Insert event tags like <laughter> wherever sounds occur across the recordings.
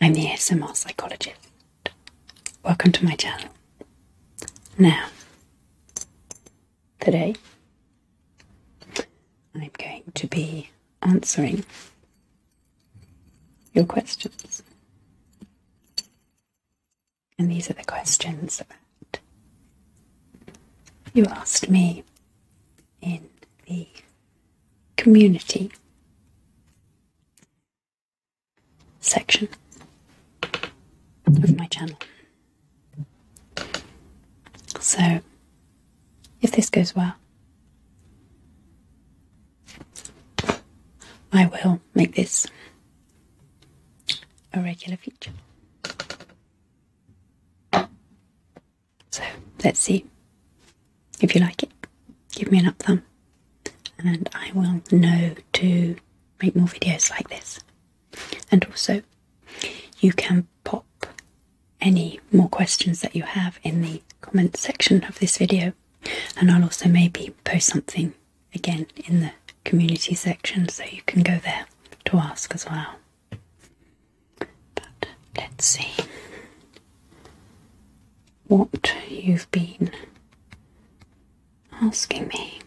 I'm the ASMR psychologist. Welcome to my channel. Now, today I'm going to be answering your questions. And these are the questions that you asked me in the community section of my channel. So, if this goes well, I will make this a regular feature. So let's see. If you like it, give me an up thumb and I will know to make more videos like this. And also, you can pop any more questions that you have in the comment section of this video, and I'll also maybe post something again in the community section so you can go there to ask as well. But let's see what you've been asking me.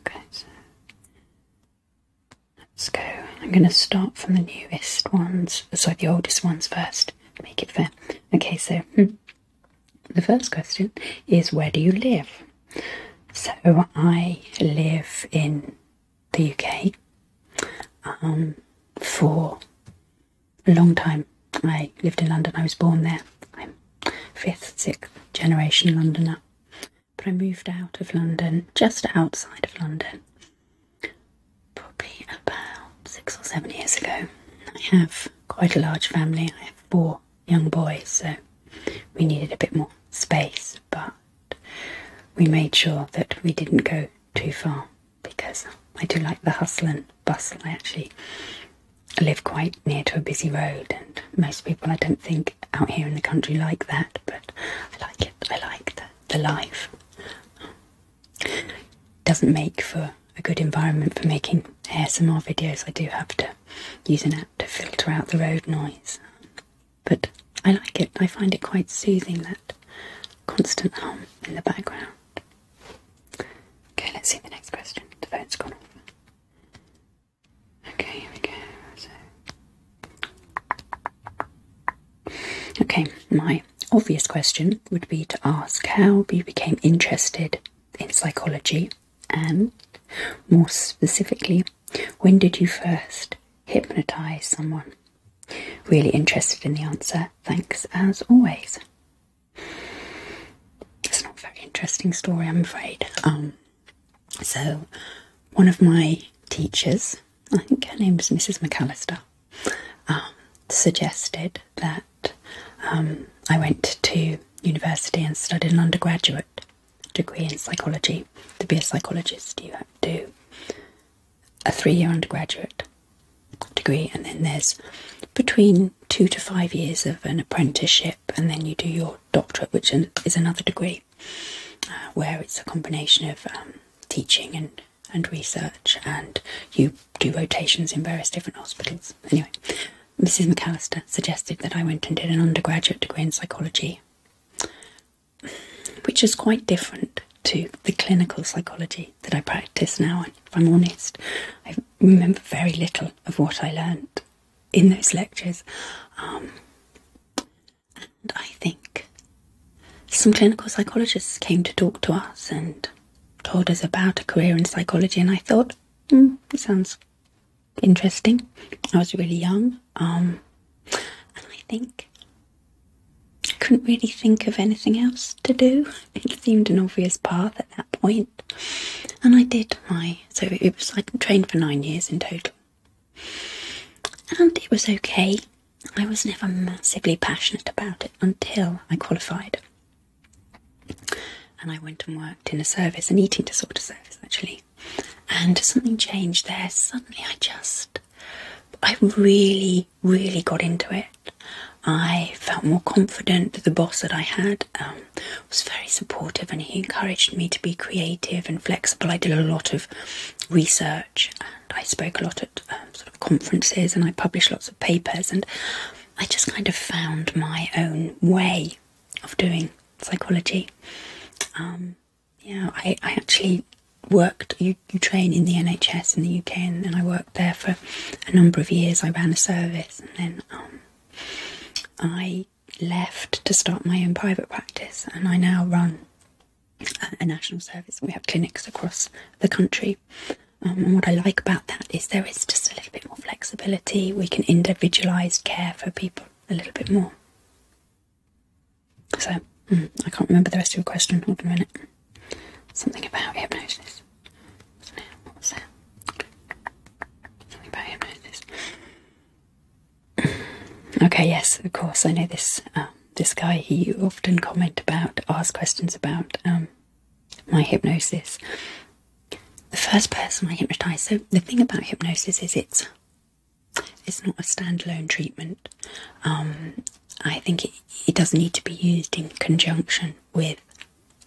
Okay, so let's go. I'm going to start from the newest ones, so the oldest ones first, make it fair. Okay, so hmm, the first question is where do you live? So I live in the UK um, for a long time. I lived in London, I was born there. I'm fifth, sixth generation Londoner. But I moved out of London, just outside of London, probably about six or seven years ago. I have quite a large family. I have four young boys, so we needed a bit more space, but we made sure that we didn't go too far because I do like the hustle and bustle. I actually live quite near to a busy road, and most people I don't think out here in the country like that, but I like it. I like the, the life. It doesn't make for a good environment for making ASMR videos. I do have to use an app to filter out the road noise, but I like it. I find it quite soothing that constant hum in the background. Okay, let's see the next question. The vote's gone over. Okay, here we go. Okay, my obvious question would be to ask how you became interested in psychology and more specifically, when did you first hypnotize someone? Really interested in the answer. Thanks as always. It's not a very interesting story, I'm afraid. Um, so, one of my teachers, I think her name was Mrs. McAllister, um, suggested that um, I went to university and studied an undergraduate degree in psychology. To be a psychologist, you have to a three year undergraduate degree, and then there's between two to five years of an apprenticeship, and then you do your doctorate, which is another degree uh, where it's a combination of um, teaching and and research, and you do rotations in various different hospitals. Anyway, Mrs. McAllister suggested that I went and did an undergraduate degree in psychology, which is quite different to the clinical psychology that I practice now. if I'm honest, I remember very little of what I learned in those lectures. Um, and I think some clinical psychologists came to talk to us and told us about a career in psychology, and I thought, it hmm, sounds interesting. I was really young, um, and I think I couldn't really think of anything else to do. It seemed an obvious path at that And I did my so it was I trained for nine years in total. And it was okay. I was never massively passionate about it until I qualified. And I went and worked in a service, an eating disorder service actually. And something changed there. Suddenly I just I really really got into it. I felt more confident. The boss that I had um, was very supportive and he encouraged me to be creative and flexible. I did a lot of research and I spoke a lot at um, sort of conferences and I published lots of papers and I just kind of found my own way of doing psychology. Um, yeah, I actually worked you, train in the NHS in the UK, and, then I worked there for a number of years. I ran a service, and then um, I left to start my own private practice, and I now run a, national service. We have clinics across the country. Um, and what I like about that is there is just a little bit more flexibility. We can individualise care for people a little bit more. So, mm, I can't remember the rest of your question. Hold a minute. Something about hypnosis. was that? Something about hypnosis. <clears throat> okay, yes, of course. I know this. Um, this guy. He often comment about, ask questions about um, my hypnosis. The first person I hypnotize. So the thing about hypnosis is it's it's not a standalone treatment. Um, I think it, it doesn't need to be used in conjunction with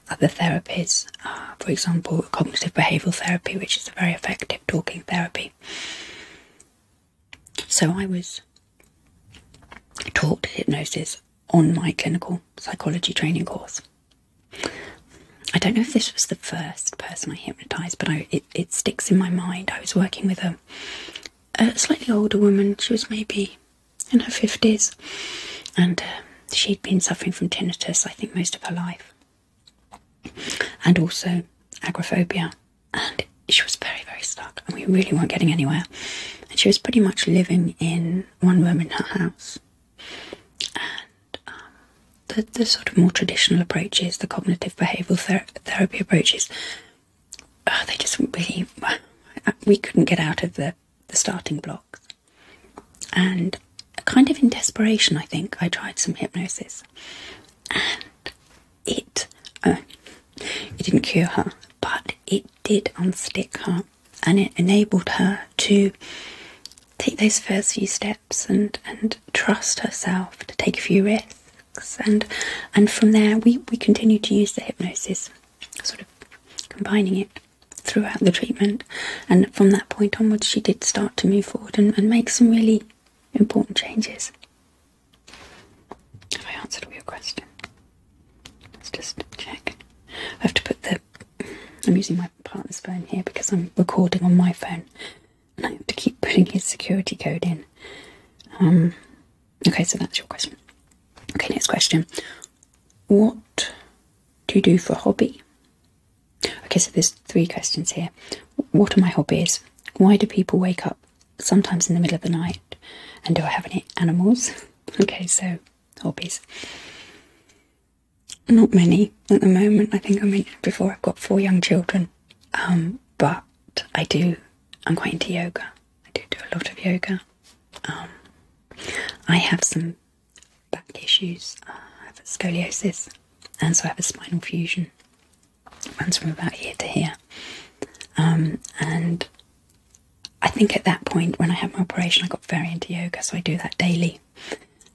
other therapies, uh, for example, cognitive behavioral therapy, which is a very effective talking therapy. So I was taught hypnosis on my clinical psychology training course. I don't know if this was the first person I hypnotized, but it, it sticks in my mind. I was working with a slightly older woman, she was maybe in her 50s, and um, she'd been suffering from tinnitus, I think, most of her life, and also agoraphobia. And she was very, very stuck, and we really weren't getting anywhere. And she was pretty much living in one room in her house. And um, the, the sort of more traditional approaches, the cognitive behavioural therapy approaches, uh, they just weren't really, <laughs> we couldn't get out of the the starting blocks. And kind of in desperation, I think, I tried some hypnosis. And it, uh, it didn't cure her, but it did unstick her. And it enabled her to take those first few steps and, and trust herself to take a few risks. And, and from there, we, we continued to use the hypnosis sort of combining it throughout the treatment. And from that point onwards, she did start to move forward and, make some really important changes. Have I answered all your questions? Let's just check. I have to put the. I'm using my partner's phone here because I'm recording on my phone, and I have to keep putting his security code in. Um, Okay, so that's your question. Okay, next question. What do you do for a hobby? Okay, so there's three questions here. What are my hobbies? Why do people wake up sometimes in the middle of the night? And do I have any animals? <laughs> Okay, so hobbies. Not many at the moment. I think I mentioned before I've got four young children. Um, but I do, I'm quite into yoga. I do do a lot of yoga. Um, I have some back issues. Uh, I have scoliosis, and so I have a spinal fusion. Runs from about here to here, um, and I think at that point when I had my operation, I got very into yoga, so I do that daily.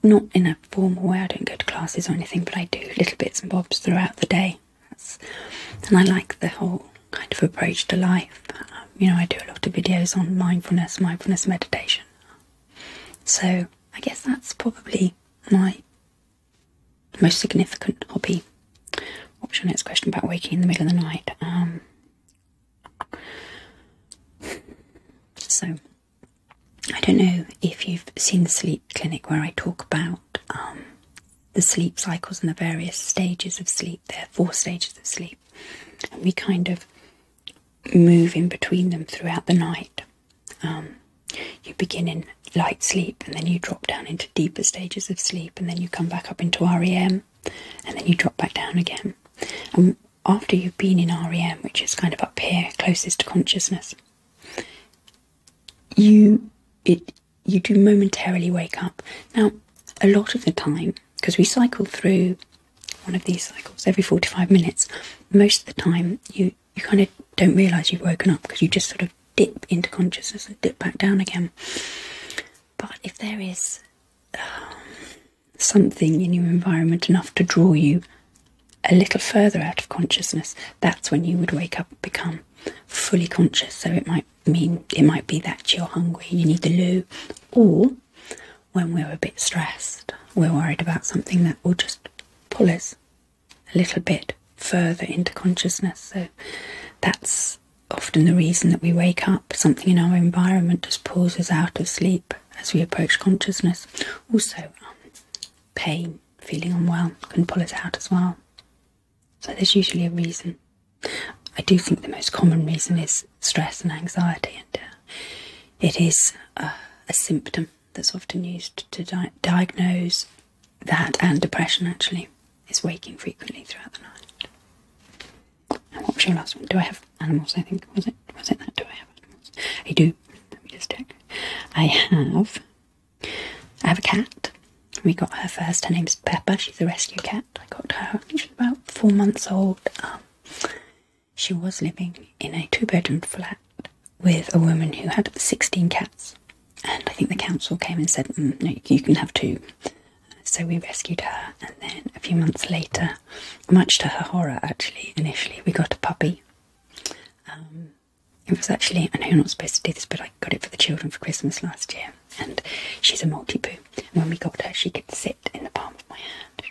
Not in a formal way. I don't go to classes or anything, but I do little bits and bobs throughout the day. and I like the whole kind of approach to life you know, I do a lot of videos on mindfulness, mindfulness meditation. So I guess that's probably my most significant hobby. What's your next question about waking in the middle of the night? Um, so I don't know if you've seen the sleep clinic where I talk about um, the sleep cycles and the various stages of sleep. There are four stages of sleep. And we kind of move in between them throughout the night. Um, you begin in light sleep and then you drop down into deeper stages of sleep and then you come back up into REM and then you drop back down again. And after you've been in REM, which is kind of up here, closest to consciousness, you it you do momentarily wake up. Now, a lot of the time, because we cycle through one of these cycles every 45 minutes, most of the time you, you kind of don't realize you've woken up because you just sort of dip into consciousness and dip back down again. But if there is um, something in your environment enough to draw you a little further out of consciousness, that's when you would wake up and become fully conscious. So it might I mean, it might be that you're hungry, you need the loo, or when we're a bit stressed, we're worried about something that will just pull us a little bit further into consciousness. So that's often the reason that we wake up. Something in our environment just pulls us out of sleep as we approach consciousness. Also, um, pain, feeling unwell can pull us out as well. So there's usually a reason. I do think the most common reason is stress and anxiety, and uh, it is uh, a symptom that's often used to diagnose that and depression actually is waking frequently throughout the night. And what was your last one? Do I have animals? I think was it was it that? Do I have animals? I do. Let me just check. I have. I have a cat. We got her first. Her name's Peppa. She's a rescue cat. I got her about four months old, um, she was living in a two bedroom flat with a woman who had 16 cats. And I think the council came and said, mm, you can have two. So we rescued her, and then a few months later, much to her horror, actually, initially, we got a puppy. Um, it was actually, I know you're not supposed to do this, but I got it for the children for Christmas last year. And she's a multi poo. And when we got her, she could sit in the palm of my hand.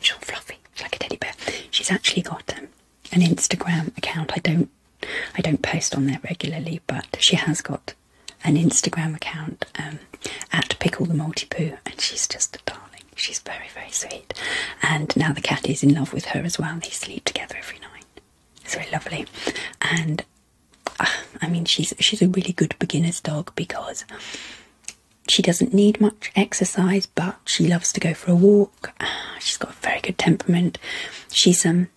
She's all fluffy, it's like a teddy bear. She's actually got um, an Instagram account. I don't, I don't post on there regularly, but she has got an Instagram account um, at Pickle the Multi Poo, and she's just a darling. She's very, very sweet. And now the cat is in love with her as well. They sleep together every night. It's very lovely. And I mean, she's she's a really good beginner's dog because she doesn't need much exercise, but she loves to go for a walk. Ah, she's got a very good temperament. She's um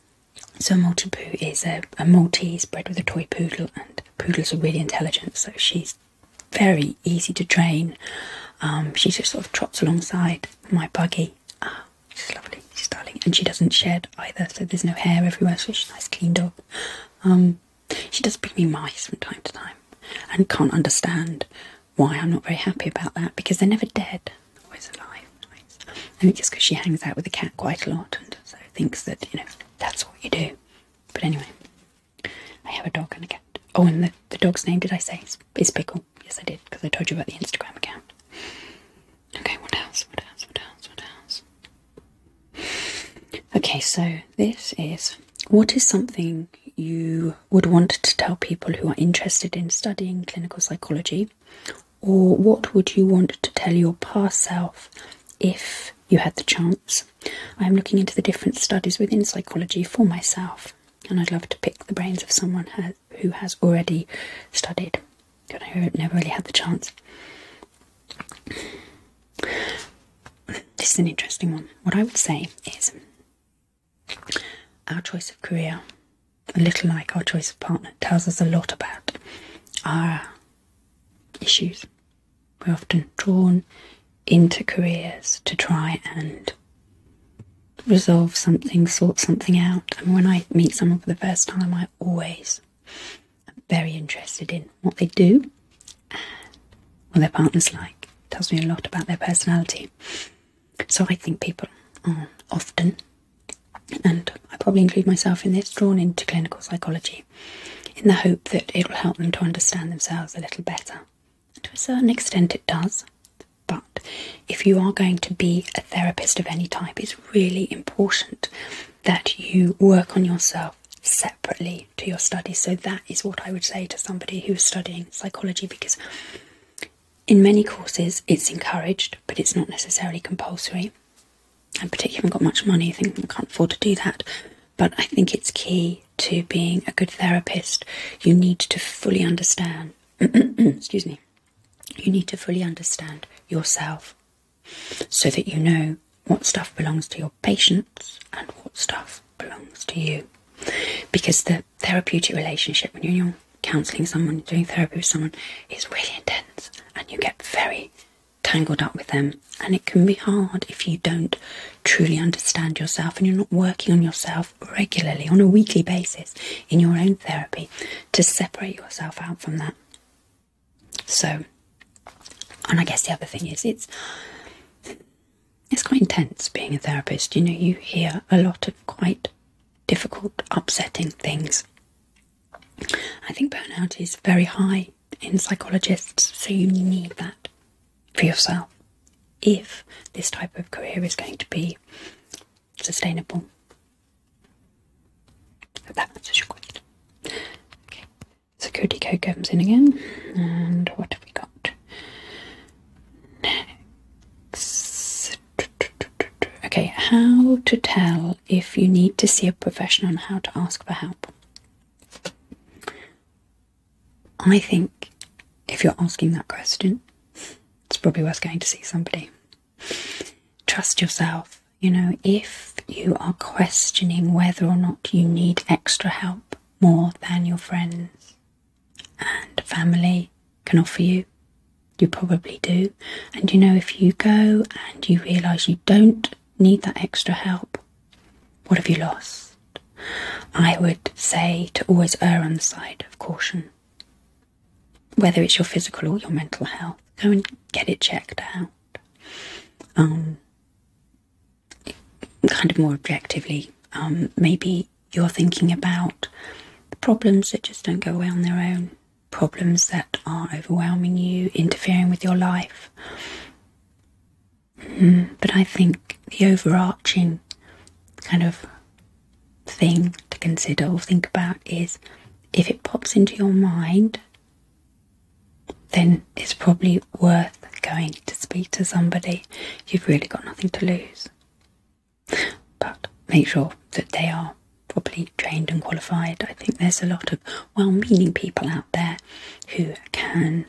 so Multi is a, Maltese bred with a toy poodle, and poodles are really intelligent, so she's very easy to train. Um, she just sort of trots alongside my buggy. Ah, she's lovely, she's darling, and she doesn't shed either, so there's no hair everywhere, so she's nice clean dog. Um, she does bring me mice from time to time and can't understand why I'm not very happy about that because they're never dead, always alive. Nice. I think it's because she hangs out with the cat quite a lot and so thinks that, you know, that's what you do. But anyway, I have a dog and a cat. Oh, and the, the dog's name, did I say? It's, Pickle. Yes, I did because I told you about the Instagram account. Okay, what else? What else? What else? What else? Okay, so this is what is something you would want to tell people who are interested in studying clinical psychology, or what would you want to tell your past self if you had the chance? I am looking into the different studies within psychology for myself, and I'd love to pick the brains of someone who has already studied, but I never really had the chance. This is an interesting one. What I would say is our choice of career, a little like our choice of partner, tells us a lot about our issues. We're often drawn into careers to try and resolve something, sort something out. And when I meet someone for the first time, I always I'm very interested in what they do and what their partner's like. It tells me a lot about their personality. So I think people are often, and I probably include myself in this, drawn into clinical psychology in the hope that it will help them to understand themselves a little better. And to a certain extent, it does. But if you are going to be a therapist of any type, it's really important that you work on yourself separately to your studies, So, that is what I would say to somebody who is studying psychology because in many courses it's encouraged, but it's not necessarily compulsory. I particularly, haven't got much money, you think I can't afford to do that. But I think it's key to being a good therapist. You need to fully understand, <clears throat> excuse me, you need to fully understand yourself so that you know what stuff belongs to your patients and what stuff belongs to you. Because the therapeutic relationship, when you're counselling someone, doing therapy with someone, is really intense and you get very tangled up with them. And it can be hard if you don't truly understand yourself and you're not working on yourself regularly, on a weekly basis, in your own therapy, to separate yourself out from that. So, and I guess the other thing is it's it's quite intense being a therapist. You know, you hear a lot of quite difficult, upsetting things. I think burnout is very high in psychologists, so you need that for yourself if this type of career is going to be sustainable. Hope that answers your question. Okay security code comes in again. And what have we got? Okay, how to tell if you need to see a professional on how to ask for help. I think if you're asking that question, it's probably worth going to see somebody. Trust yourself. You know, if if you are questioning whether or not you need extra help more than your friends and family can offer you, you probably do. And you know, if you go and you realise you don't need that extra help, what have you lost? I would say to always err on the side of caution. Whether it's your physical or your mental health, go and get it checked out. Um, kind of more objectively, um, maybe you're thinking about problems that just don't go away on their own, problems that are overwhelming you, interfering with your life. Mm, but I think the overarching kind of thing to consider or think about is if it pops into your mind, then it's probably worth going to speak to somebody. You've really got nothing to lose. But make sure that they are properly trained and qualified. I think there's a lot of well meaning people out there who can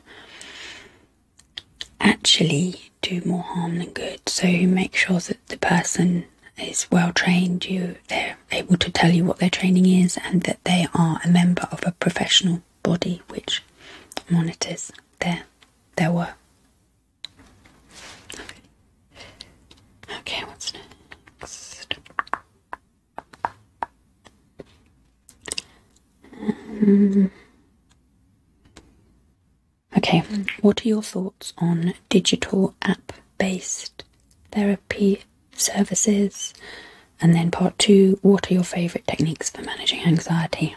actually do more harm than good. So make sure that the person is well trained, you they're able to tell you what their training is and that they are a member of a professional body which monitors their their work. Okay. what's next? Um, okay, what are your thoughts on digital app based therapy services and then part two what are your favourite techniques for managing anxiety?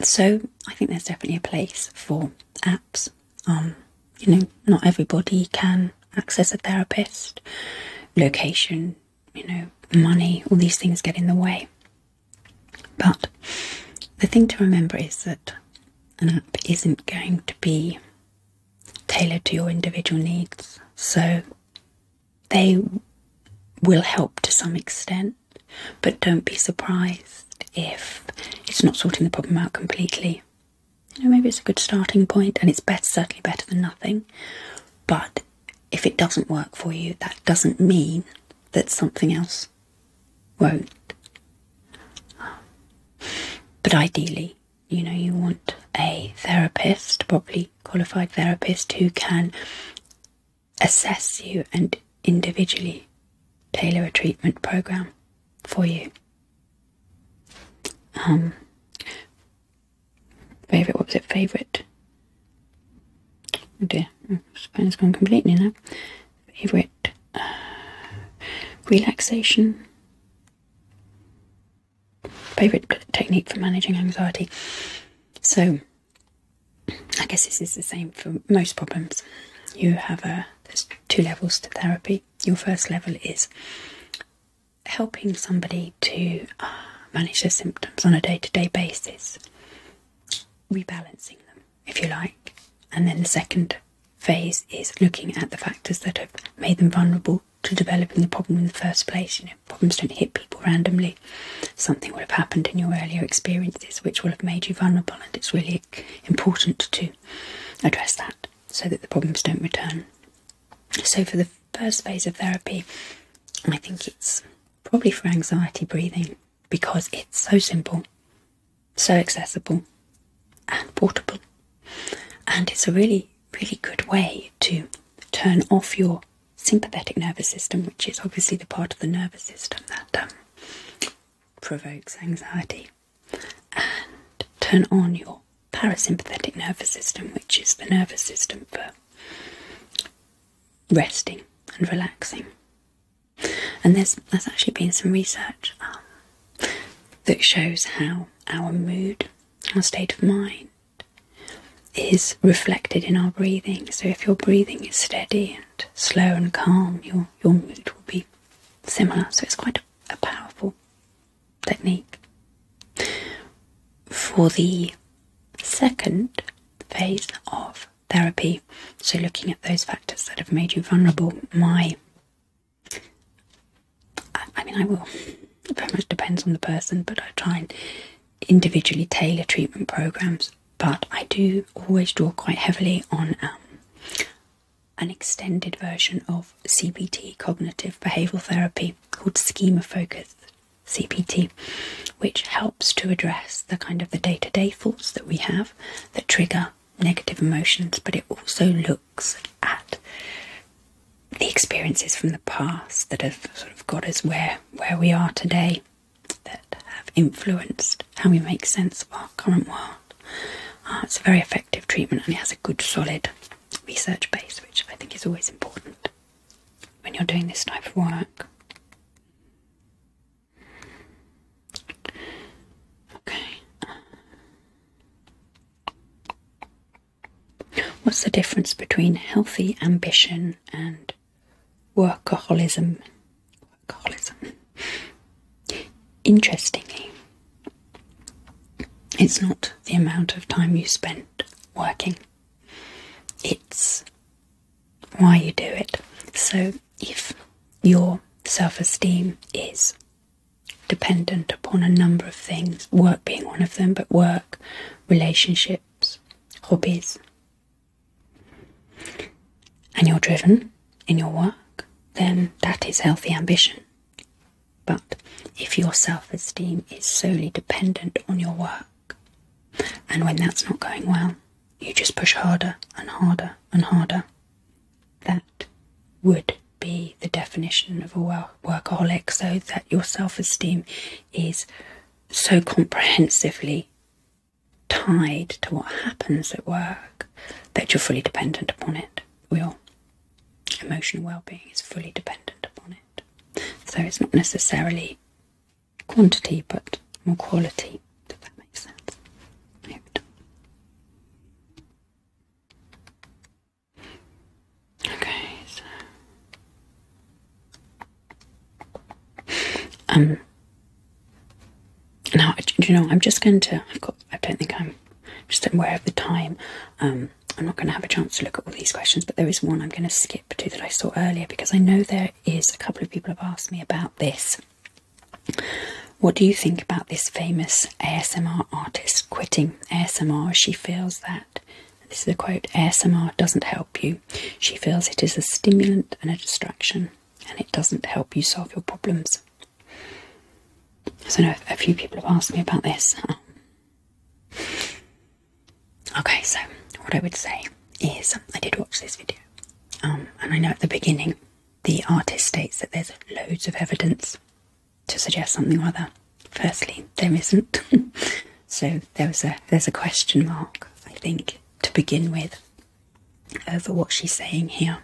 So I think there's definitely a place for apps. Um, you know, not everybody can access a therapist, location, you know, money, all these things get in the way. But the thing to remember is that an app isn't going to be tailored to your individual needs. So they will help to some extent, but don't be surprised if it's not sorting the problem out completely. You know, maybe it's a good starting point and it's certainly better than nothing. But if it doesn't work for you, that doesn't mean that something else won't. But ideally, you know, you want a therapist, probably qualified therapist, who can assess you and individually tailor a treatment program for you. Um, favorite, what was it? Favorite. Oh dear, my oh, has gone completely now. Favorite uh, relaxation favorite technique for managing anxiety. So, I guess this is the same for most problems. You have a there's two levels to therapy. Your first level is helping somebody to uh, manage their symptoms on a day to day basis, rebalancing them, if you like. And then the second phase is looking at the factors that have made them vulnerable to developing the problem in the first place. You know, problems don't hit people randomly. Something will have happened in your earlier experiences which will have made you vulnerable, and it's really important to address that so that the problems don't return. So, for the first phase of therapy, I think it's probably for anxiety breathing because it's so simple, so accessible, and portable, and it's a really really good way to turn off your sympathetic nervous system, which is obviously the part of the nervous system that um, provokes anxiety, and turn on your parasympathetic nervous system, which is the nervous system for resting and relaxing. And there's, there's actually been some research um, that shows how our mood, our state of mind, is reflected in our breathing. So if your breathing is steady and slow and calm, your your mood will be similar. So it's quite a, a powerful technique. For the second phase of therapy, so looking at those factors that have made you vulnerable, my I, mean, I will. It very much depends on the person, but I try and individually tailor treatment programs. But I do always draw quite heavily on um, an extended version of CBT, cognitive behavioral therapy, called schema focused CBT, which helps to address the kind of the day to -day thoughts that we have that trigger negative emotions, but it also looks at the experiences from the past that have sort of got us where where we are today, that have influenced how we make sense of our current world. Uh, it's a very effective treatment and it has a good solid research base, which I think is always important when you're doing this type of work. Okay. What's the difference between healthy ambition and workaholism? Workaholism. Interestingly, it's not the amount of time you spend working, it's why you do it. So, if your self esteem is dependent upon a number of things, work being one of them, but work relationships, hobbies. And you're driven in your work, then that is healthy ambition. But if your self esteem is solely dependent on your work, and when that's not going well, you just push harder and harder and harder, that would be the definition of a well workaholic so that your self-esteem is so comprehensively tied to what happens at work that you're fully dependent upon it your emotional well-being is fully dependent upon it so it's not necessarily quantity but more quality if that makes sense Okay, so um now do you know I'm just going to I've got I don't think I'm, just aware of the time. Um I'm not going to have a chance to look at all these questions, but there is one I'm going to skip to that I saw earlier because I know there is a couple of people have asked me about this. What do you think about this famous ASMR artist quitting ASMR? She feels that this is a quote ASMR doesn't help you. She feels it is a stimulant and a distraction, and it doesn't help you solve your problems. So, no, a few people have asked me about this. <laughs> Okay, so what I would say is I did watch this video, um, and I know at the beginning the artist states that there's loads of evidence to suggest something or other. Firstly, there isn't. <laughs> so there was a there's a question mark, I think, to begin with over what she's saying here.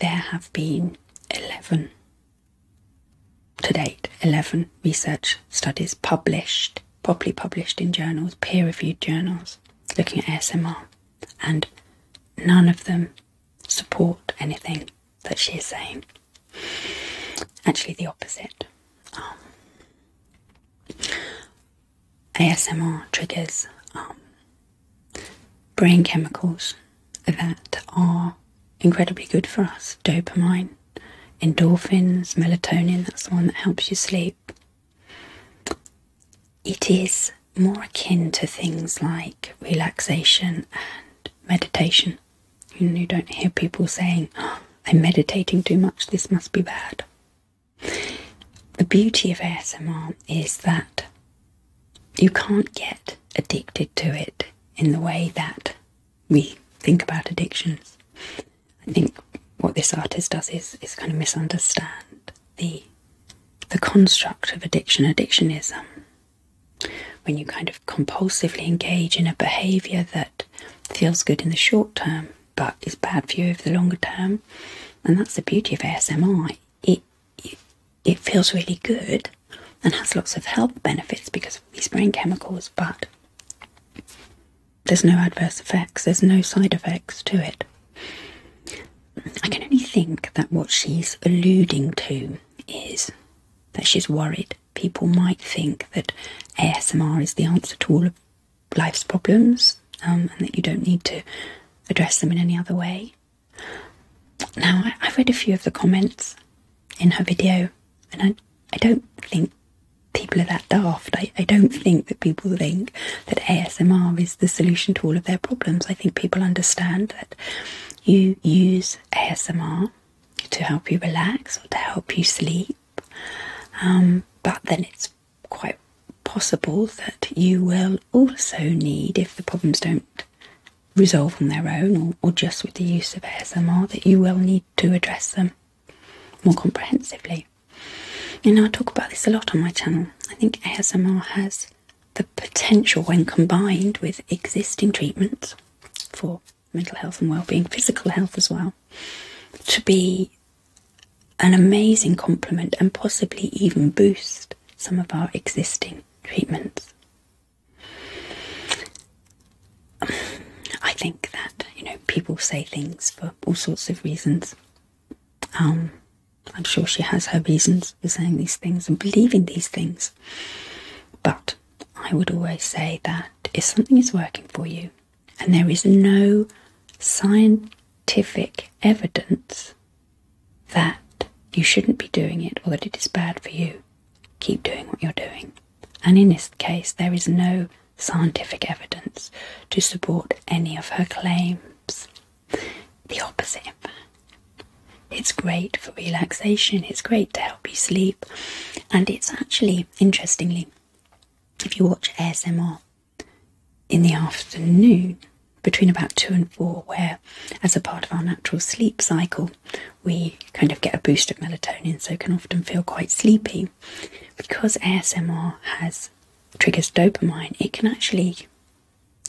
There have been eleven to date, eleven research studies published, properly published in journals, peer-reviewed journals, looking at ASMR, and none of them support anything that she is saying. Actually, the opposite. Um, ASMR triggers um, brain chemicals that are incredibly good for us dopamine, endorphins, melatonin that's the one that helps you sleep. It is more akin to things like relaxation and meditation. You don't hear people saying, oh, I'm meditating too much, this must be bad. The beauty of ASMR is that you can't get addicted to it in the way that we think about addictions. I think what this artist does is, is kind of misunderstand the the construct of addiction. Addiction is um, when you kind of compulsively engage in a behavior that feels good in the short term but is bad for you over the longer term, and that's the beauty of ASMI, it, it, feels really good and has lots of health benefits because of these brain chemicals, but there's no adverse effects, there's no side effects to it. I can only think that what she's alluding to is that she's worried people might think that ASMR is the answer to all of life's problems um, and that you don't need to address them in any other way. Now, I, have read a few of the comments in her video, and I, I don't think people are that daft. I, I don't think that people think that ASMR is the solution to all of their problems. I think people understand that you use ASMR to help you relax or to help you sleep. Um, but then it's quite possible that you will also need, if the problems don't resolve on their own or, or just with the use of ASMR, that you will need to address them more comprehensively. And I talk about this a lot on my channel. I think ASMR has the potential, when combined with existing treatments for mental health and well-being, physical health as well, to be an amazing complement and possibly even boost some of our existing treatments. I think that you know people say things for all sorts of reasons. Um, I'm sure she has her reasons for saying these things and believing these things, but I would always say that if something is working for you and there is no scientific evidence that you shouldn't be doing it or that it is bad for you, keep doing what you're doing. And in this case, there is no scientific evidence to support any of her claims. The opposite, It's great for relaxation, it's great to help you sleep, and it's actually, interestingly, if you watch ASMR in the afternoon between about two and four, where as a part of our natural sleep cycle, we kind of get a boost of melatonin, so can often feel quite sleepy. Because ASMR has triggers dopamine, it can actually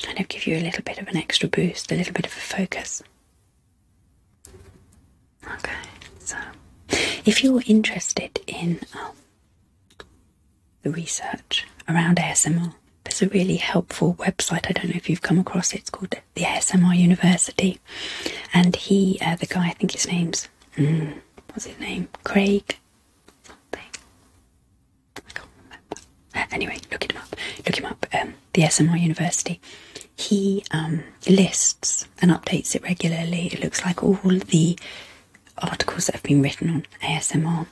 kind of give you a little bit of an extra boost, a little bit of a focus. Okay, so if you're interested in um, the research around ASMR, there's a really helpful website. I don't know if you've come across it. It's called the ASMR University, and he, uh, the guy, I think his name's mm, what's his name, Craig. Something. I can't remember. Uh, anyway, look him up. Look him up. Um, the SMR University he um, lists and updates it regularly. It looks like all the articles that have been written on ASMR,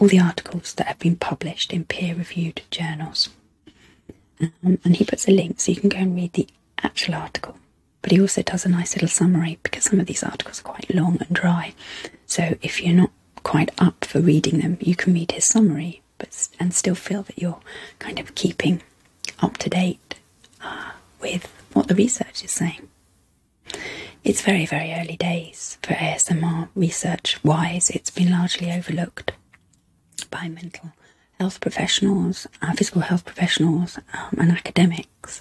all the articles that have been published in peer reviewed journals. Um, and he puts a link so you can go and read the actual article. But he also does a nice little summary because some of these articles are quite long and dry. So if you're not quite up for reading them, you can read his summary but and still feel that you're kind of keeping up to date uh, with what the research is saying. It's very, very early days for ASMR research wise. It's been largely overlooked by mental health professionals, uh, physical health professionals, um, and academics.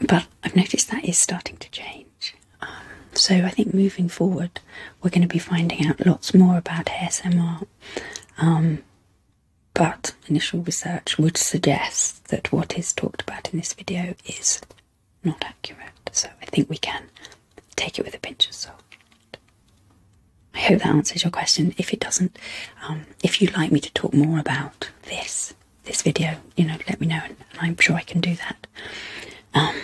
But I've noticed that is starting to change. Um, so I think moving forward, we're going to be finding out lots more about ASMR. Um, but initial research would suggest that what is talked about in this video is not accurate, so I think we can take it with a pinch of salt. I hope that answers your question. If it doesn't, um, if you'd like me to talk more about this this video, you know, let me know, and, I'm sure I can do that. Um,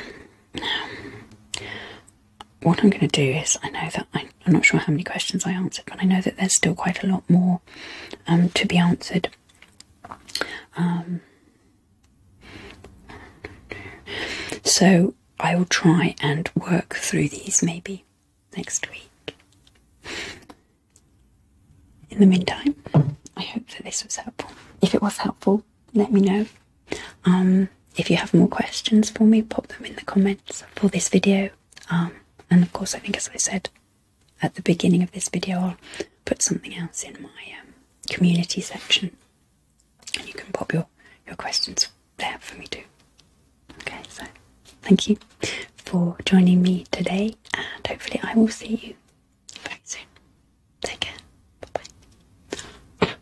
what I'm going to do is, I know that I, am not sure how many questions I answered, but I know that there's still quite a lot more um, to be answered. Um, so I will try and work through these maybe next week. In the meantime, I hope that this was helpful. If it was helpful, let me know. Um, if you have more questions for me, pop them in the comments for this video. Um, and of course, I think as I said at the beginning of this video, I'll put something else in my um, community section, and you can pop your your questions there for me too. Okay, so thank you for joining me today, and hopefully, I will see you very soon. Take care. Bye bye.